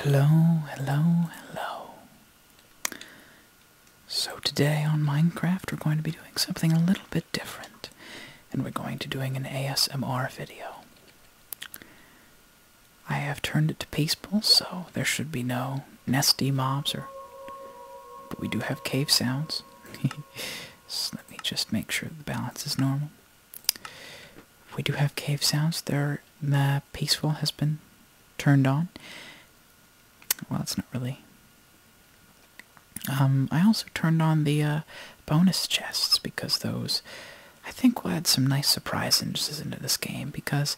Hello, hello, hello. So today on Minecraft we're going to be doing something a little bit different. And we're going to doing an ASMR video. I have turned it to peaceful, so there should be no nasty mobs or but we do have cave sounds. so let me just make sure the balance is normal. We do have cave sounds. They're peaceful has been turned on. Well, it's not really. Um, I also turned on the uh, bonus chests because those, I think, will add some nice surprises into this game because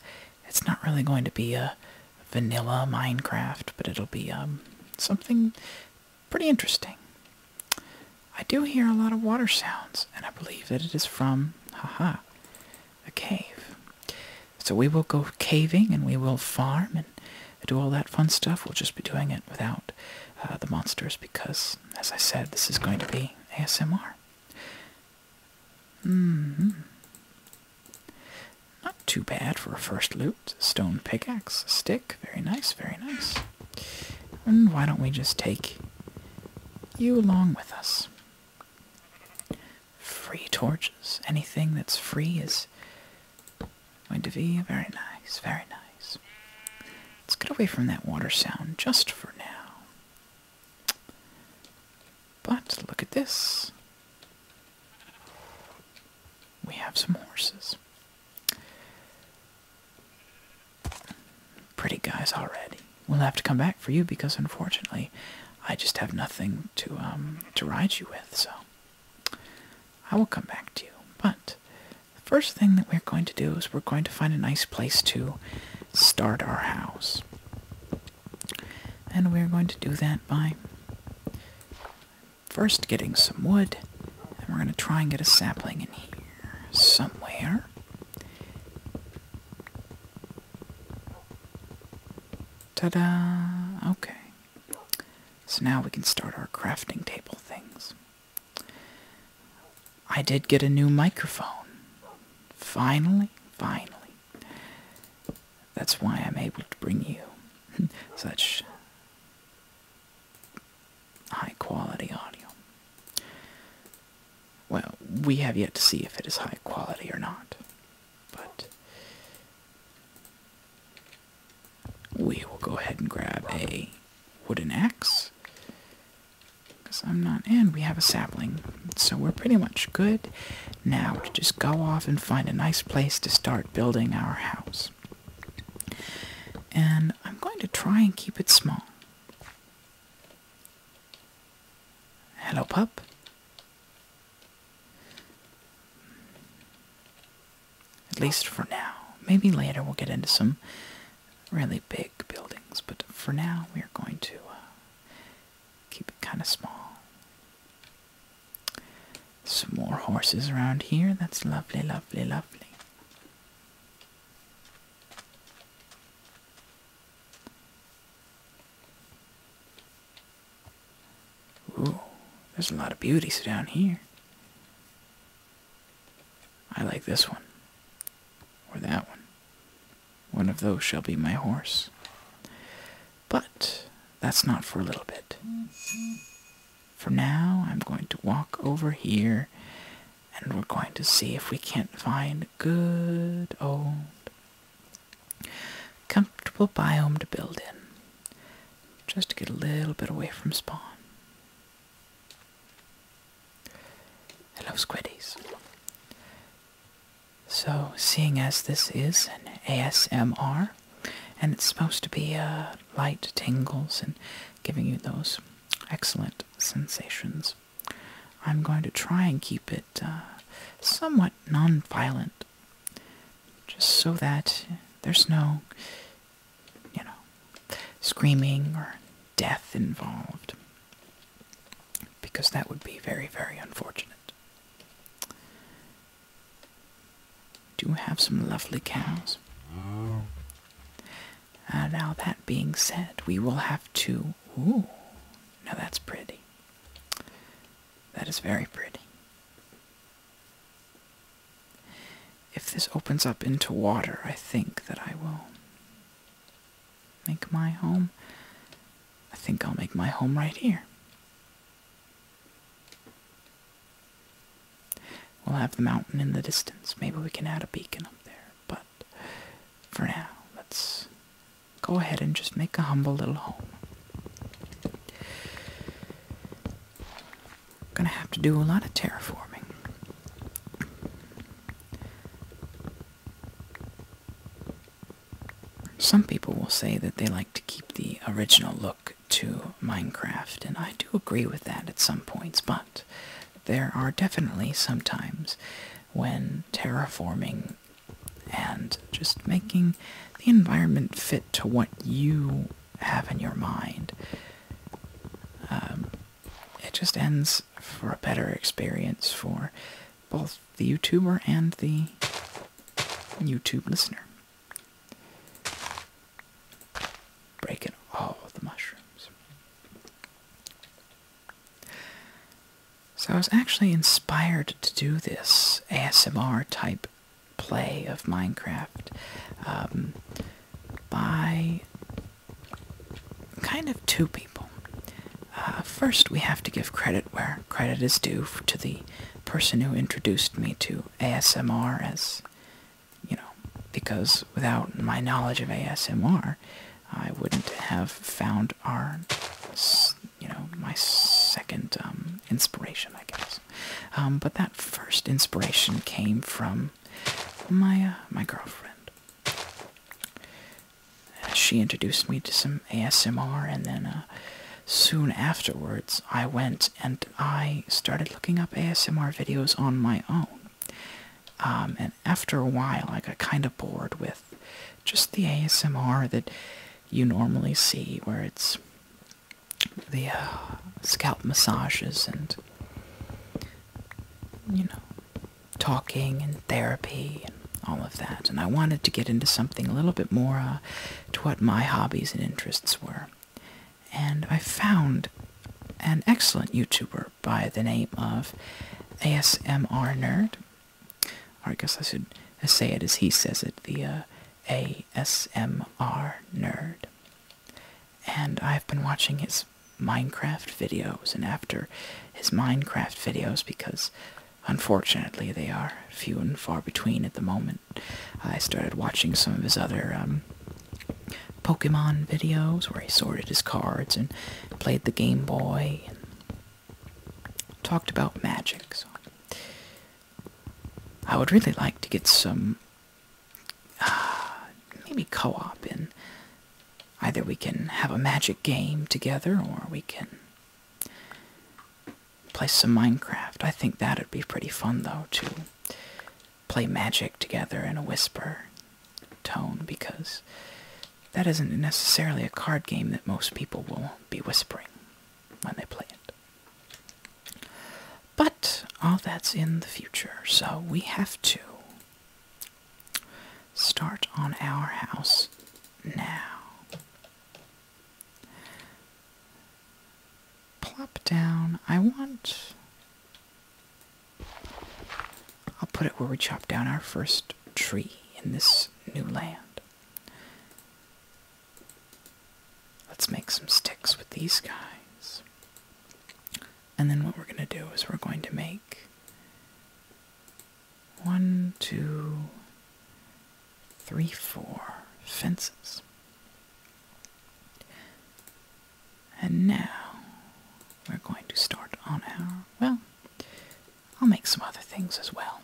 it's not really going to be a vanilla Minecraft, but it'll be um, something pretty interesting. I do hear a lot of water sounds, and I believe that it is from, haha, a cave. So we will go caving and we will farm and do all that fun stuff. We'll just be doing it without uh, the monsters because, as I said, this is going to be ASMR. hmm Not too bad for a first loot. Stone pickaxe, stick. Very nice, very nice. And why don't we just take you along with us? Free torches. Anything that's free is going to be very nice, very nice. Let's get away from that water sound just for now. But look at this. We have some horses. Pretty guys already. We'll have to come back for you because unfortunately I just have nothing to um to ride you with, so I will come back to you. But the first thing that we're going to do is we're going to find a nice place to start our house. And we're going to do that by first getting some wood, and we're going to try and get a sapling in here somewhere. Ta-da! Okay. So now we can start our crafting table things. I did get a new microphone. Finally, finally. That's why I'm able to bring you such high quality audio. Well, we have yet to see if it is high quality or not, but we will go ahead and grab a wooden axe. Because I'm not, and we have a sapling, so we're pretty much good now to just go off and find a nice place to start building our house. And I'm going to try and keep it small. Hello, pup. At least for now. Maybe later we'll get into some really big buildings, but for now we're going to uh, keep it kind of small. Some more horses around here. That's lovely, lovely, lovely. Ooh, there's a lot of beauties down here. I like this one. Or that one. One of those shall be my horse. But that's not for a little bit. For now, I'm going to walk over here and we're going to see if we can't find a good old comfortable biome to build in just to get a little bit away from spawn. Hello, squiddies. So, seeing as this is an ASMR, and it's supposed to be uh, light tingles and giving you those excellent sensations, I'm going to try and keep it uh, somewhat non-violent, just so that there's no, you know, screaming or death involved, because that would be very, very unfortunate. Do have some lovely cows. Oh. Uh, now, that being said, we will have to. Ooh, now that's pretty. That is very pretty. If this opens up into water, I think that I will make my home. I think I'll make my home right here. We'll have the mountain in the distance. Maybe we can add a beacon up there, but for now, let's go ahead and just make a humble little home. Gonna have to do a lot of terraforming. Some people will say that they like to keep the original look to Minecraft, and I do agree with that at some points, but there are definitely sometimes when terraforming and just making the environment fit to what you have in your mind. Um, it just ends for a better experience for both the YouTuber and the YouTube listener. Breaking all of the mushrooms. So I was actually inspired to do this ASMR type play of Minecraft um, by kind of two people. Uh, first, we have to give credit where credit is due to the person who introduced me to ASMR as, you know, because without my knowledge of ASMR, I wouldn't have found our, you know, my second um, inspiration, I guess. Um, but that first inspiration came from my uh, my girlfriend. Uh, she introduced me to some ASMR, and then uh, soon afterwards, I went and I started looking up ASMR videos on my own. Um, and after a while, I got kind of bored with just the ASMR that you normally see, where it's the uh, scalp massages and you know talking and therapy and all of that. And I wanted to get into something a little bit more uh, to what my hobbies and interests were. And I found an excellent YouTuber by the name of ASMR Nerd. Or I guess I should say it as he says it, via uh, ASMR Nerd. And I've been watching his Minecraft videos and after his Minecraft videos because unfortunately they are few and far between at the moment. I started watching some of his other um, Pokemon videos where he sorted his cards and played the Game Boy and talked about magic. So I would really like to get some uh, maybe co-op in. Either we can have a magic game together or we can play some Minecraft. I think that'd be pretty fun though to play magic together in a whisper tone because that isn't necessarily a card game that most people will be whispering when they play it. But all that's in the future, so we have to start on our house now. Plop down. I want I'll put it where we chop down our first tree in this new land. Let's make some sticks with these guys. And then what we're going to do is we're going to make one, two, three, four fences. And now we're going to start on our, well, I'll make some other things as well.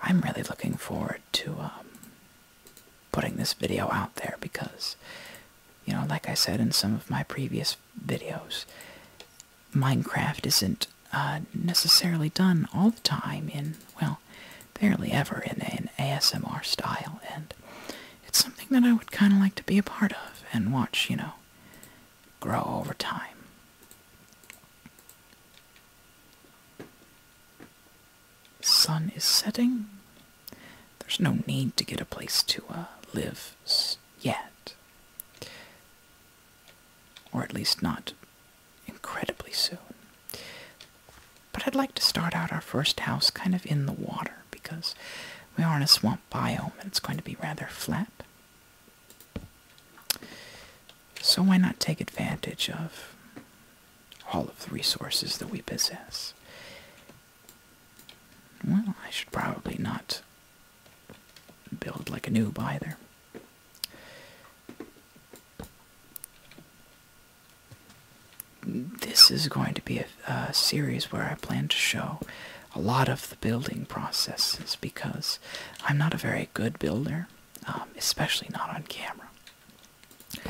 I'm really looking forward to um, putting this video out there because, you know, like I said in some of my previous videos, Minecraft isn't uh, necessarily done all the time in, well, barely ever in an ASMR style, and it's something that I would kind of like to be a part of and watch, you know, grow over time. Sun is setting. There's no need to get a place to uh, live yet. Or at least not incredibly soon. But I'd like to start out our first house kind of in the water because we are in a swamp biome and it's going to be rather flat. So why not take advantage of all of the resources that we possess? Well, I should probably not build like a noob either this is going to be a, series where I plan to show a lot of the building processes because I'm not a very good builder, um, especially not on camera. Uh,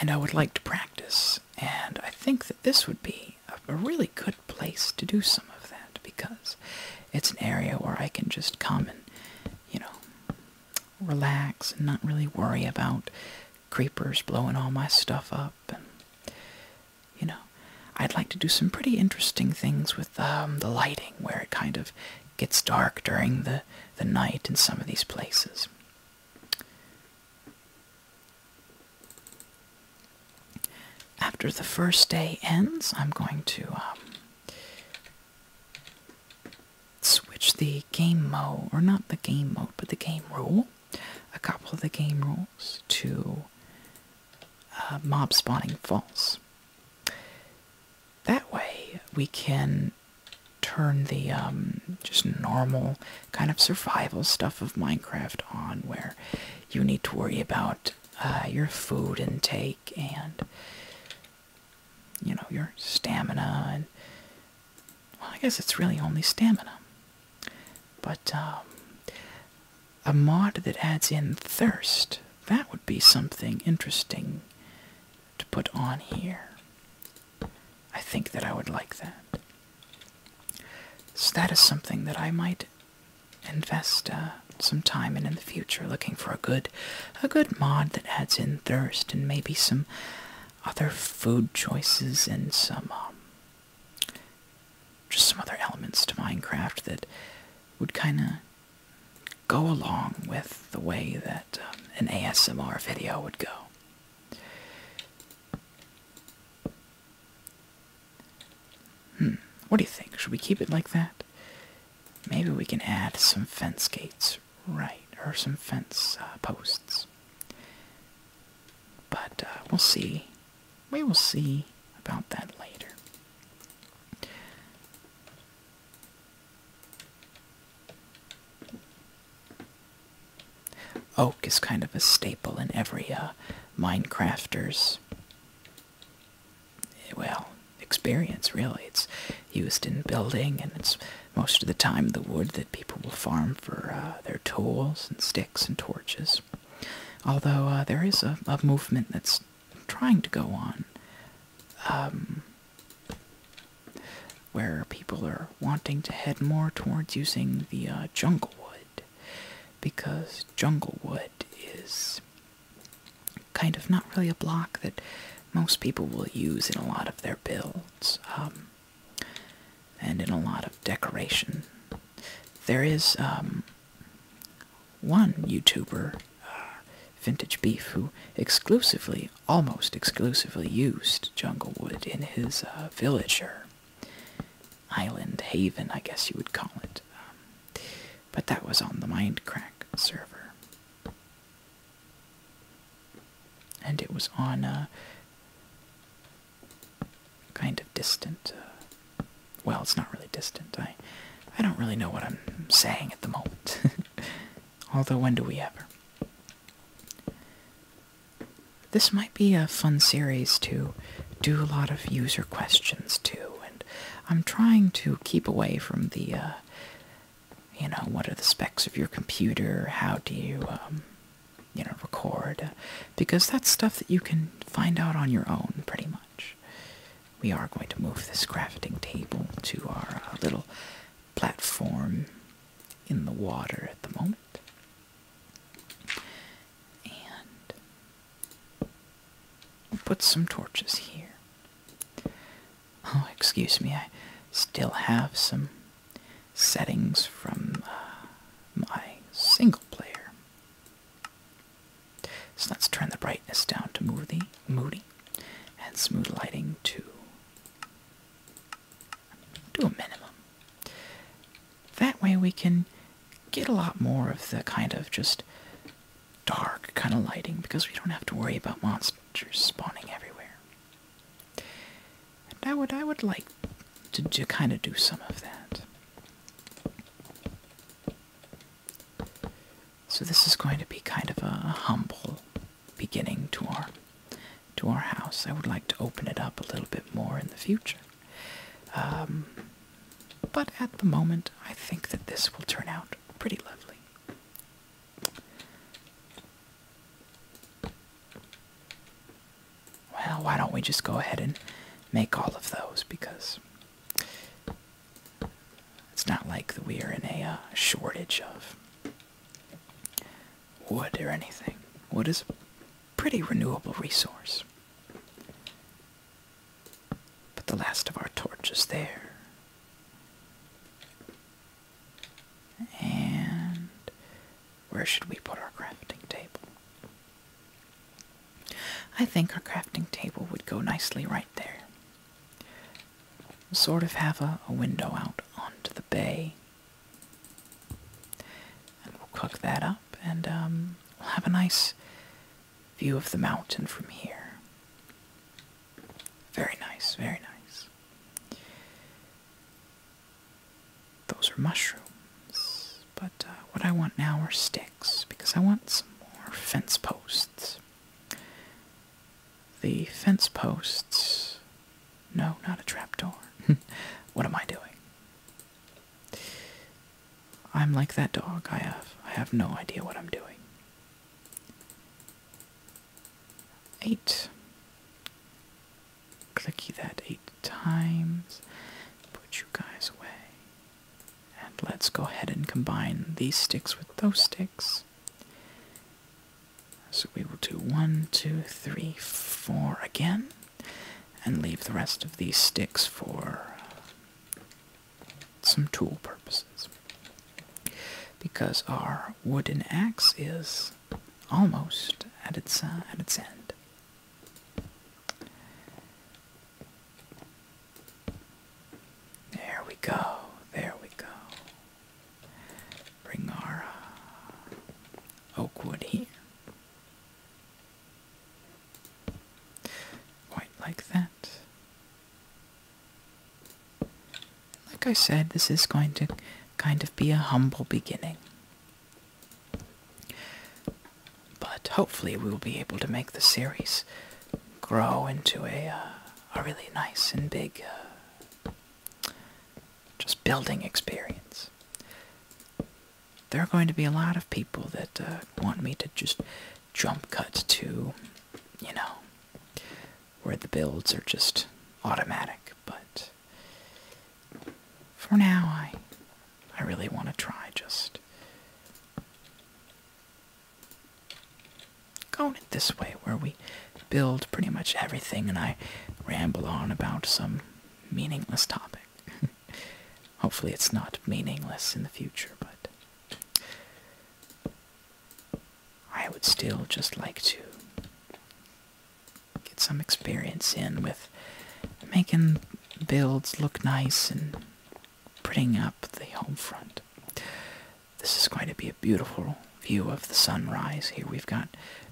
and I would like to practice, and I think that this would be a, a really good place to do some of that because it's an area where I can just come and, you know, relax and not really worry about creepers blowing all my stuff up you know, I'd like to do some pretty interesting things with um, the lighting, where it kind of gets dark during the the night in some of these places. After the first day ends, I'm going to um, switch the game mode, or not the game mode, but the game rule a couple of the game rules to uh, mob spawning false. That way we can turn the um, just normal kind of survival stuff of Minecraft on where you need to worry about uh, your food intake and you know your stamina and well, I guess it's really only stamina. But um, a mod that adds in thirst, that would be something interesting to put on here. I think that I would like that. So that is something that I might invest uh, some time in in the future, looking for a good, a good mod that adds in thirst and maybe some other food choices and some um, just some other elements to Minecraft that would kind of go along with the way that um, an ASMR video would go. Hmm, what do you think? Should we keep it like that? Maybe we can add some fence gates, right, or some fence uh, posts. But uh, we'll see. We will see about that later. Oak is kind of a staple in every uh, Minecrafter's well experience. Really, it's used in building, and it's most of the time the wood people will farm for uh, their tools and sticks and torches. Although uh, there is a, movement that's trying to go on, um, where people are wanting to head more towards using the uh, jungle wood, because jungle wood is kind of not really a block that most people will use in a lot of their builds. Um, and in a lot of decoration. There is um, one YouTuber, uh, Vintage Beef, who exclusively, almost exclusively, used Junglewood in his uh, Villager island haven, I guess you would call it. Um, but that was on the Mindcrack server. And it was on uh, kind of distant. Uh, well, it's not really distant. I, I don't really know what I'm saying at the moment. Although, when do we ever? This might be a fun series to do a lot of user questions too, and I'm trying to keep away from the, uh, you know, what are the specs of your computer? How do you um, you know, record, because that's stuff that you can find out on your own, pretty much. We are going to move this crafting table to our uh, little platform in the water at the moment. And put some torches here. Oh, excuse me, I still have some settings from uh, my single player. So let's turn the brightness down to moody, moody and smooth lighting to do a minimum. That way we can get a lot more of the kind of just dark kind of lighting because we don't have to worry about monsters spawning everywhere. And I would I would like to, to kind of do some of that. So this is going to be kind of a humble beginning to our to our house. I would like to open it up a little bit more in the future. Um, but at the moment, I think that this will turn out pretty lovely. Well, why don't we just go ahead and make all of those because it's not like that we are in a uh, shortage of wood or anything. Wood is a pretty renewable resource. But the last of our torches there. And where should we put our crafting table? I think our crafting table would go nicely right there. Sort of have a, window out onto the bay. And we'll cook that up and um, we'll have a nice view of the mountain from here. Very nice, very nice those are mushrooms. But uh, what I want now are sticks because I want some more fence posts. The fence posts. No, not a trapdoor. what am I doing? I'm like that dog. I have I have no idea what I'm doing. Eight. Clicky that eight times. Put you guys away. And let's go ahead and combine these sticks with those sticks. So we will do one, two, three, four again. And leave the rest of these sticks for some tool purposes. Because our wooden axe is almost at its, uh, at its end. There we go, there we go. Bring our uh, here. Quite like that. Like I said, this is going to kind of be a humble beginning. But hopefully, we will be able to make the series grow into a uh, a really nice and big uh, just building experience. There are going to be a lot of people that uh, want me to just jump cut to, you know, where the builds are just automatic. But for now, I I really want to try just going it this way where we build pretty much everything and I ramble on about some meaningless topic. Hopefully it's not meaningless in the future, but I would still just like to get some experience in with making builds look nice and putting up the home front. This is going to be a beautiful view of the sunrise. Here we've got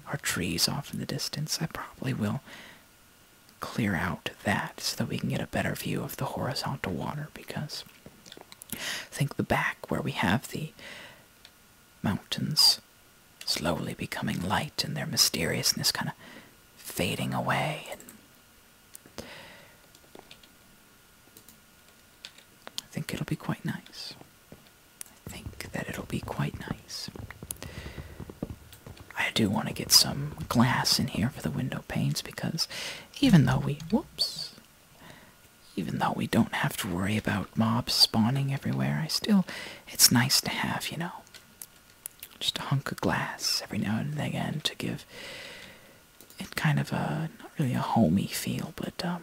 our trees off in the distance. I probably will clear out that so that we can get a better view of the horizontal water because I think the back where we have the mountains slowly becoming light and their mysteriousness kind of fading away I think it'll be quite nice. I think that it'll be quite nice. I do want to get some glass in here for the window panes because even though we whoops even though we don't have to worry about mobs spawning everywhere, I still it's nice to have, you know just a hunk of glass every now and again to give it kind of a not really a homey feel, but um,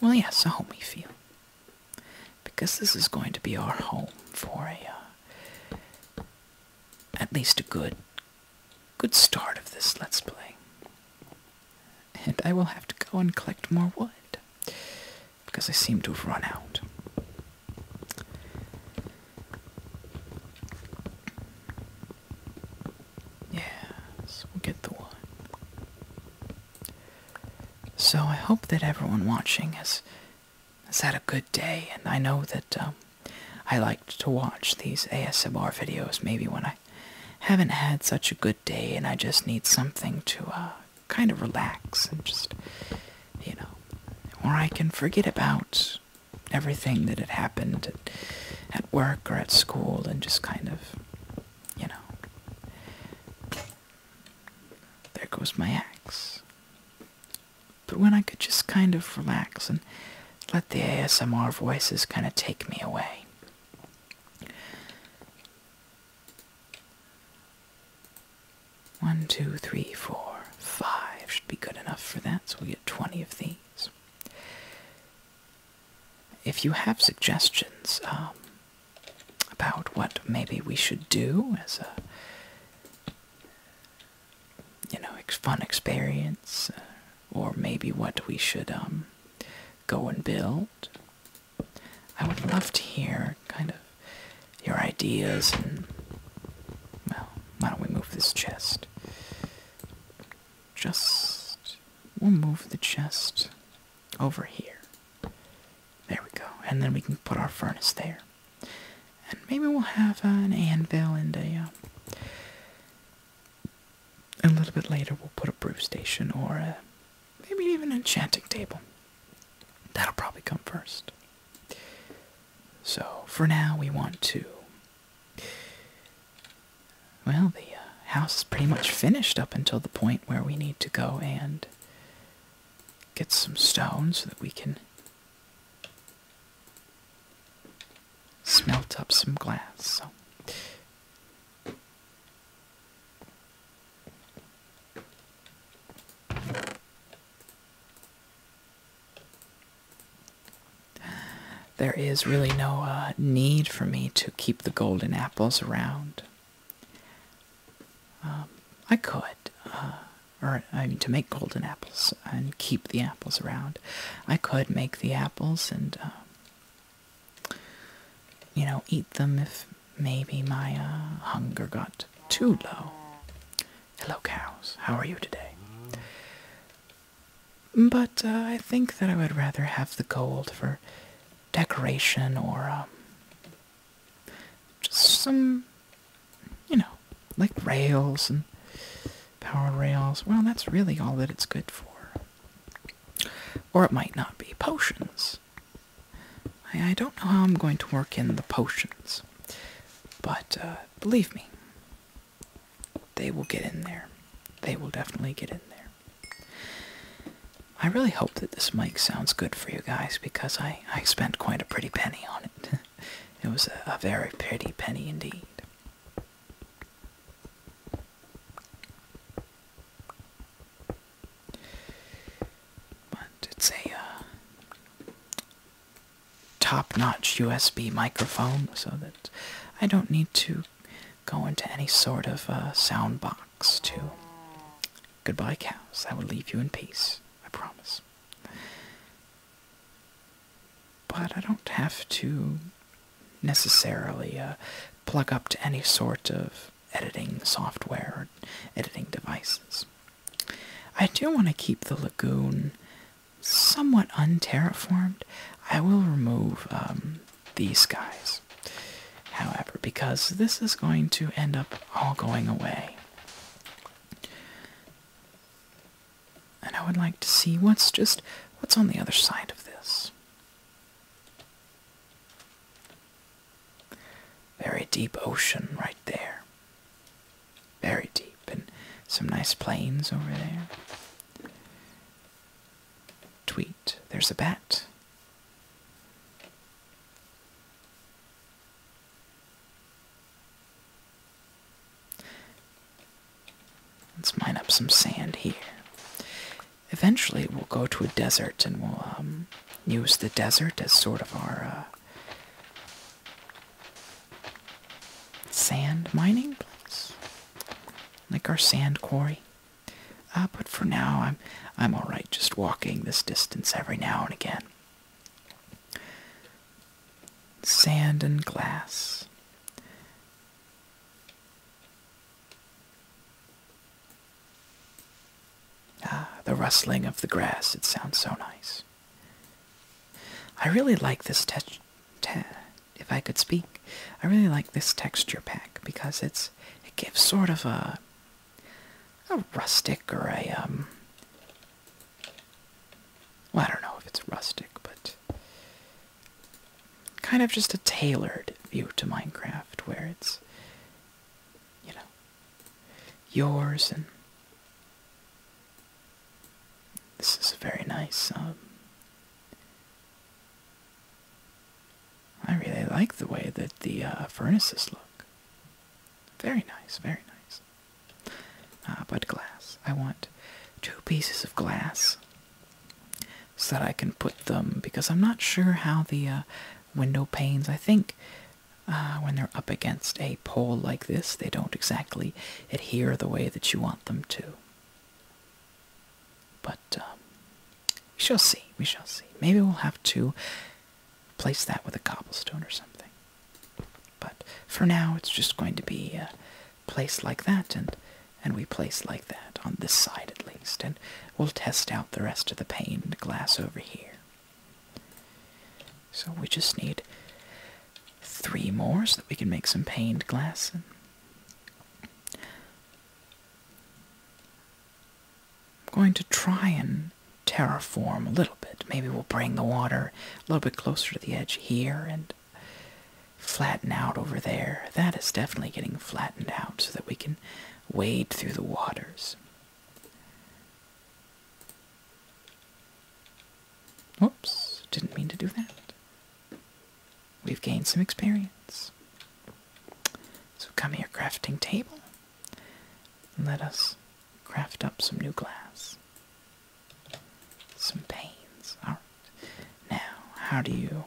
well, yes, a homey feel because this is going to be our home for a uh, at least a good good start of this let's play. And I will have to go and collect more wood because I seem to have run out. Yes, we get the one. So I hope that everyone watching has has had a good day, and I know that um, I like to watch these ASMR videos. Maybe when I haven't had such a good day, and I just need something to uh, kind of relax and just, you know, or I can forget about everything that had happened at, at work or at school and just kind of, you know, there goes my axe. But when I could just kind of relax and let the ASMR voices kind of take me away. One, two, three, four, five should be good enough for that, so we will get 20 of these. If you have suggestions um, about what maybe we should do as a you know, fun experience, uh, or maybe what we should um, go and build, I would love to hear kind of your ideas and. Well, why don't we move this chest? Just. We'll move the chest over here. There we go. And then we can put our furnace there. And maybe we'll have an anvil and a. Uh, a little bit later, we'll put a brew station or a Maybe even an enchanting table. That'll probably come first. So for now, we want to. Well, the uh, house is pretty much finished up until the point where we need to go and get some stone so that we can smelt up some glass. So. There is really no uh, need for me to keep the golden apples around. Um, I could, uh, or I mean, to make golden apples and keep the apples around. I could make the apples and, uh, you know, eat them if Maybe my uh, hunger got too low. Hello, cows. How are you today? But uh, I think that I would rather have the gold for decoration or um, just some, you know, like rails and power rails. Well, that's really all that it's good for. Or it might not be potions. I, don't know how I'm going to work in the potions, but uh, believe me, they will get in there. They will definitely get in there. I really hope that this mic sounds good for you guys because I, I spent quite a pretty penny on it. it was a very pretty penny indeed. But it's a uh, top-notch USB microphone, so that I don't need to go into any sort of uh, sound box to goodbye cows. I will leave you in peace. I promise. But I don't have to necessarily uh, plug up to any sort of editing software or editing devices. I do want to keep the lagoon somewhat unterraformed. I will remove um, these guys, however, because this is going to end up all going away. And I would like to see what's just what's on the other side of this. Very deep ocean right there. Very deep, and some nice plains over there. Tweet, there's a bat. Let's mine up some sand here. Eventually, we'll go to a desert and we'll um, use the desert as sort of our uh, sand mining place, like our sand quarry. Uh, but for now, I'm I'm all right, just walking this distance every now and again. Sand and glass. Ah, the rustling of the grass. It sounds so nice. I really like this texture. if I could speak, I really like this texture pack because it's it gives sort of a a rustic or a um well, I don't know if it's rustic, but kind of just a tailored view to Minecraft where it's you know, yours and this is a very nice um, I really like the way that the uh, furnaces look. Very nice, very nice. Ah, but glass. I want two pieces of glass so that I can put them because I'm not sure how the uh, window panes. I think uh, when they're up against a pole like this, they don't exactly adhere the way that you want them to. But uh, we shall see. We shall see. Maybe we'll have to place that with a cobblestone or something. But for now, it's just going to be uh, placed like that, and and we place like that on this side at least, and we'll test out the rest of the pane glass over here. So we just need three more so that we can make some paned glass. I'm going to try and terraform a little bit. Maybe we'll bring the water a little bit closer to the edge here and flatten out over there. That is definitely getting flattened out so that we can wade through the waters. Oops! didn't mean to do that. We've gained some experience. So come here, crafting table. And let us craft up some new glass. Some panes. Alright. Now, how do you...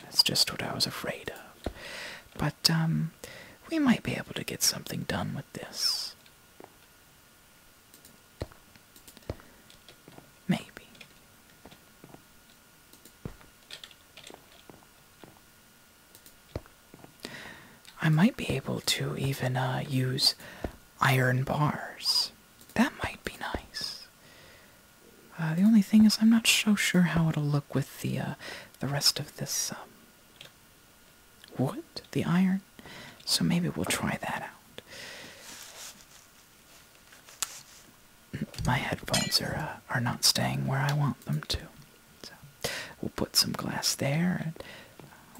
That's just what I was afraid of. But, um, we might be able to get something done with this. Maybe. I might be able to even uh, use iron bars. That might be nice. Uh, the only thing is, I'm not so sure how it'll look with the uh, the rest of this um, what? The iron? So maybe we'll try that out. My headphones are uh, are not staying where I want them to. So we'll put some glass there,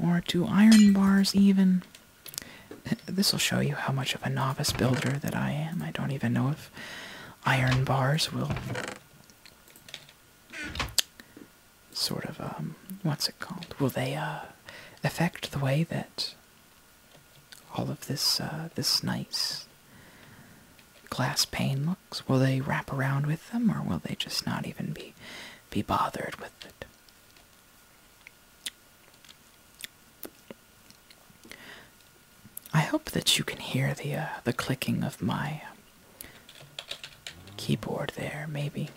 or two iron bars even. This will show you how much of a novice builder that I am. I don't even know if iron bars will sort of um, what's it called? Will they uh, affect the way that all of this uh, this nice glass pane looks? Will they wrap around with them, or will they just not even be be bothered with it? I hope that you can hear the uh, the clicking of my um, keyboard there, maybe.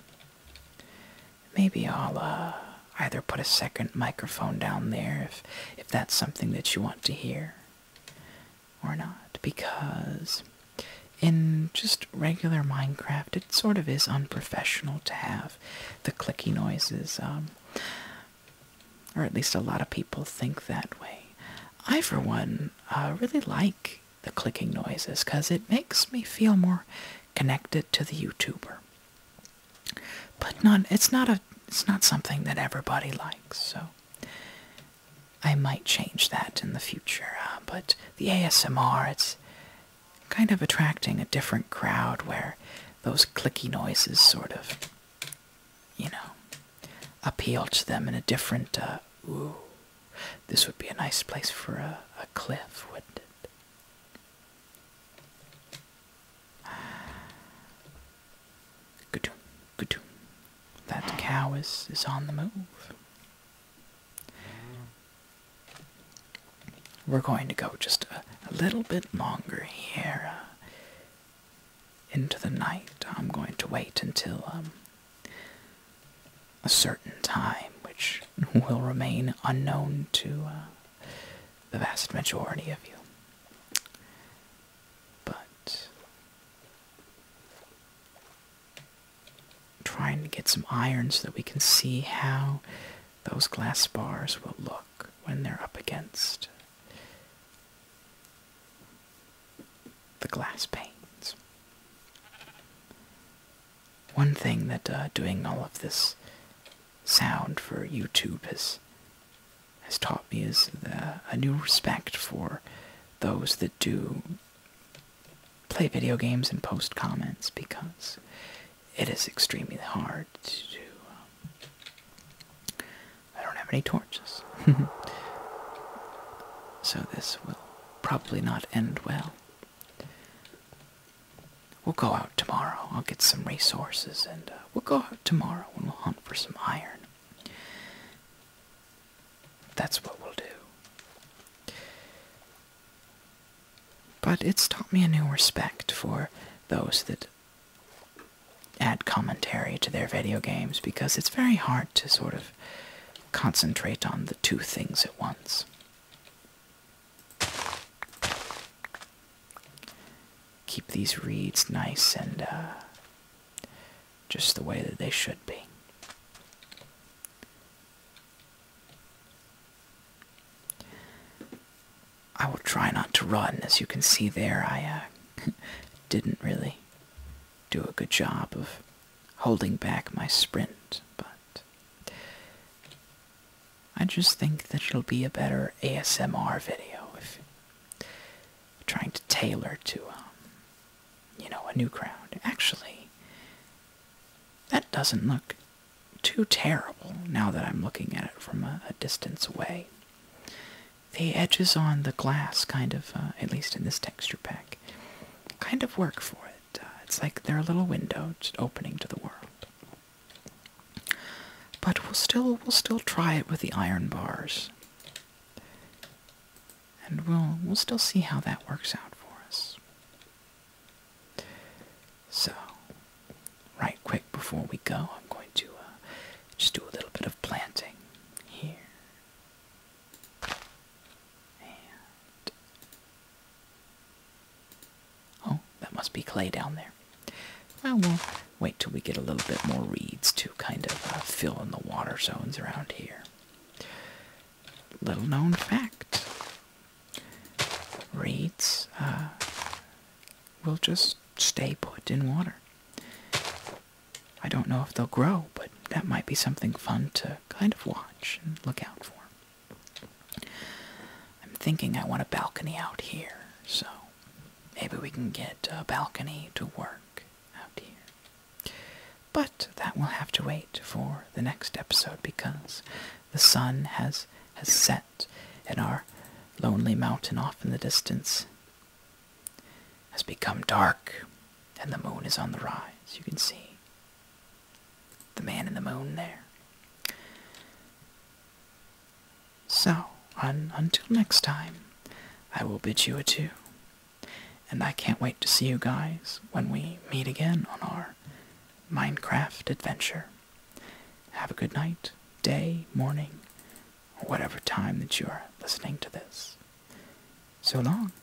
Maybe I'll uh, either put a second microphone down there if, if that's something that you want to hear or not, because in just regular Minecraft, it sort of is unprofessional to have the clicky noises, um, or at least a lot of people think that way. I, for one, uh, really like the clicking noises because it makes me feel more connected to the YouTuber. But not it's not a it's not something that everybody likes, so I might change that in the future. Uh, but the ASMR, it's kind of attracting a different crowd where those clicky noises sort of, you know, appeal to them in a different, uh, this would be a nice place for a, a cliff, wouldn't it? Good, good. That cow is is on the move. We're going to go just a, little bit longer here uh, into the night. I'm going to wait until um, a certain time which will remain unknown to uh, the vast majority of you. But trying to get some iron so that we can see how those glass bars will look when they're up against the glass panes. One thing that uh, doing all of this sound for YouTube has has taught me is a new respect for those that do play video games and post comments because it is extremely hard to do. Um, I don't have any torches. so this will probably not end well. We'll go out tomorrow. I'll get some resources and uh, we'll go out tomorrow and we'll hunt for some iron. That's what we'll do. But it's taught me a new respect for those that add commentary to their video games because it's very hard to sort of concentrate on the two things at once. Keep these reeds nice and uh, just the way that they should be. I will try not to run. As you can see there, I uh, didn't really do a good job of holding back my sprint, but I just think that it'll be a better ASMR video if trying to tailor to, um, you know, a new crowd. Actually, that doesn't look too terrible now that I'm looking at it from a, distance away. The edges on the glass kind of, uh, at least in this texture pack, kind of work for it. Uh, it's like they're a little window just opening to the world. But we'll still we'll still try it with the iron bars. And we'll we'll still see how that works out for us. So, right quick before we go, I'm going to uh, just do a little bit of planting here oh, that must be clay down there. Well, wait till we get a little bit more reeds to kind of uh, fill in the water zones around here. Little known fact: reeds uh, will just stay put in water. I don't know if they'll grow, but that might be something fun to kind of watch watch and look out for. I'm thinking I want a balcony out here, so maybe we can get a balcony to work out here. But that will have to wait for the next episode because the sun has has set and our lonely mountain off in the distance has become dark and the moon is on the rise. You can see the man in the moon there. So, until next time, I will bid you adieu. And I can't wait to see you guys when we meet again on our Minecraft adventure. Have a good night, day, morning, or whatever time that you are listening to this. So long,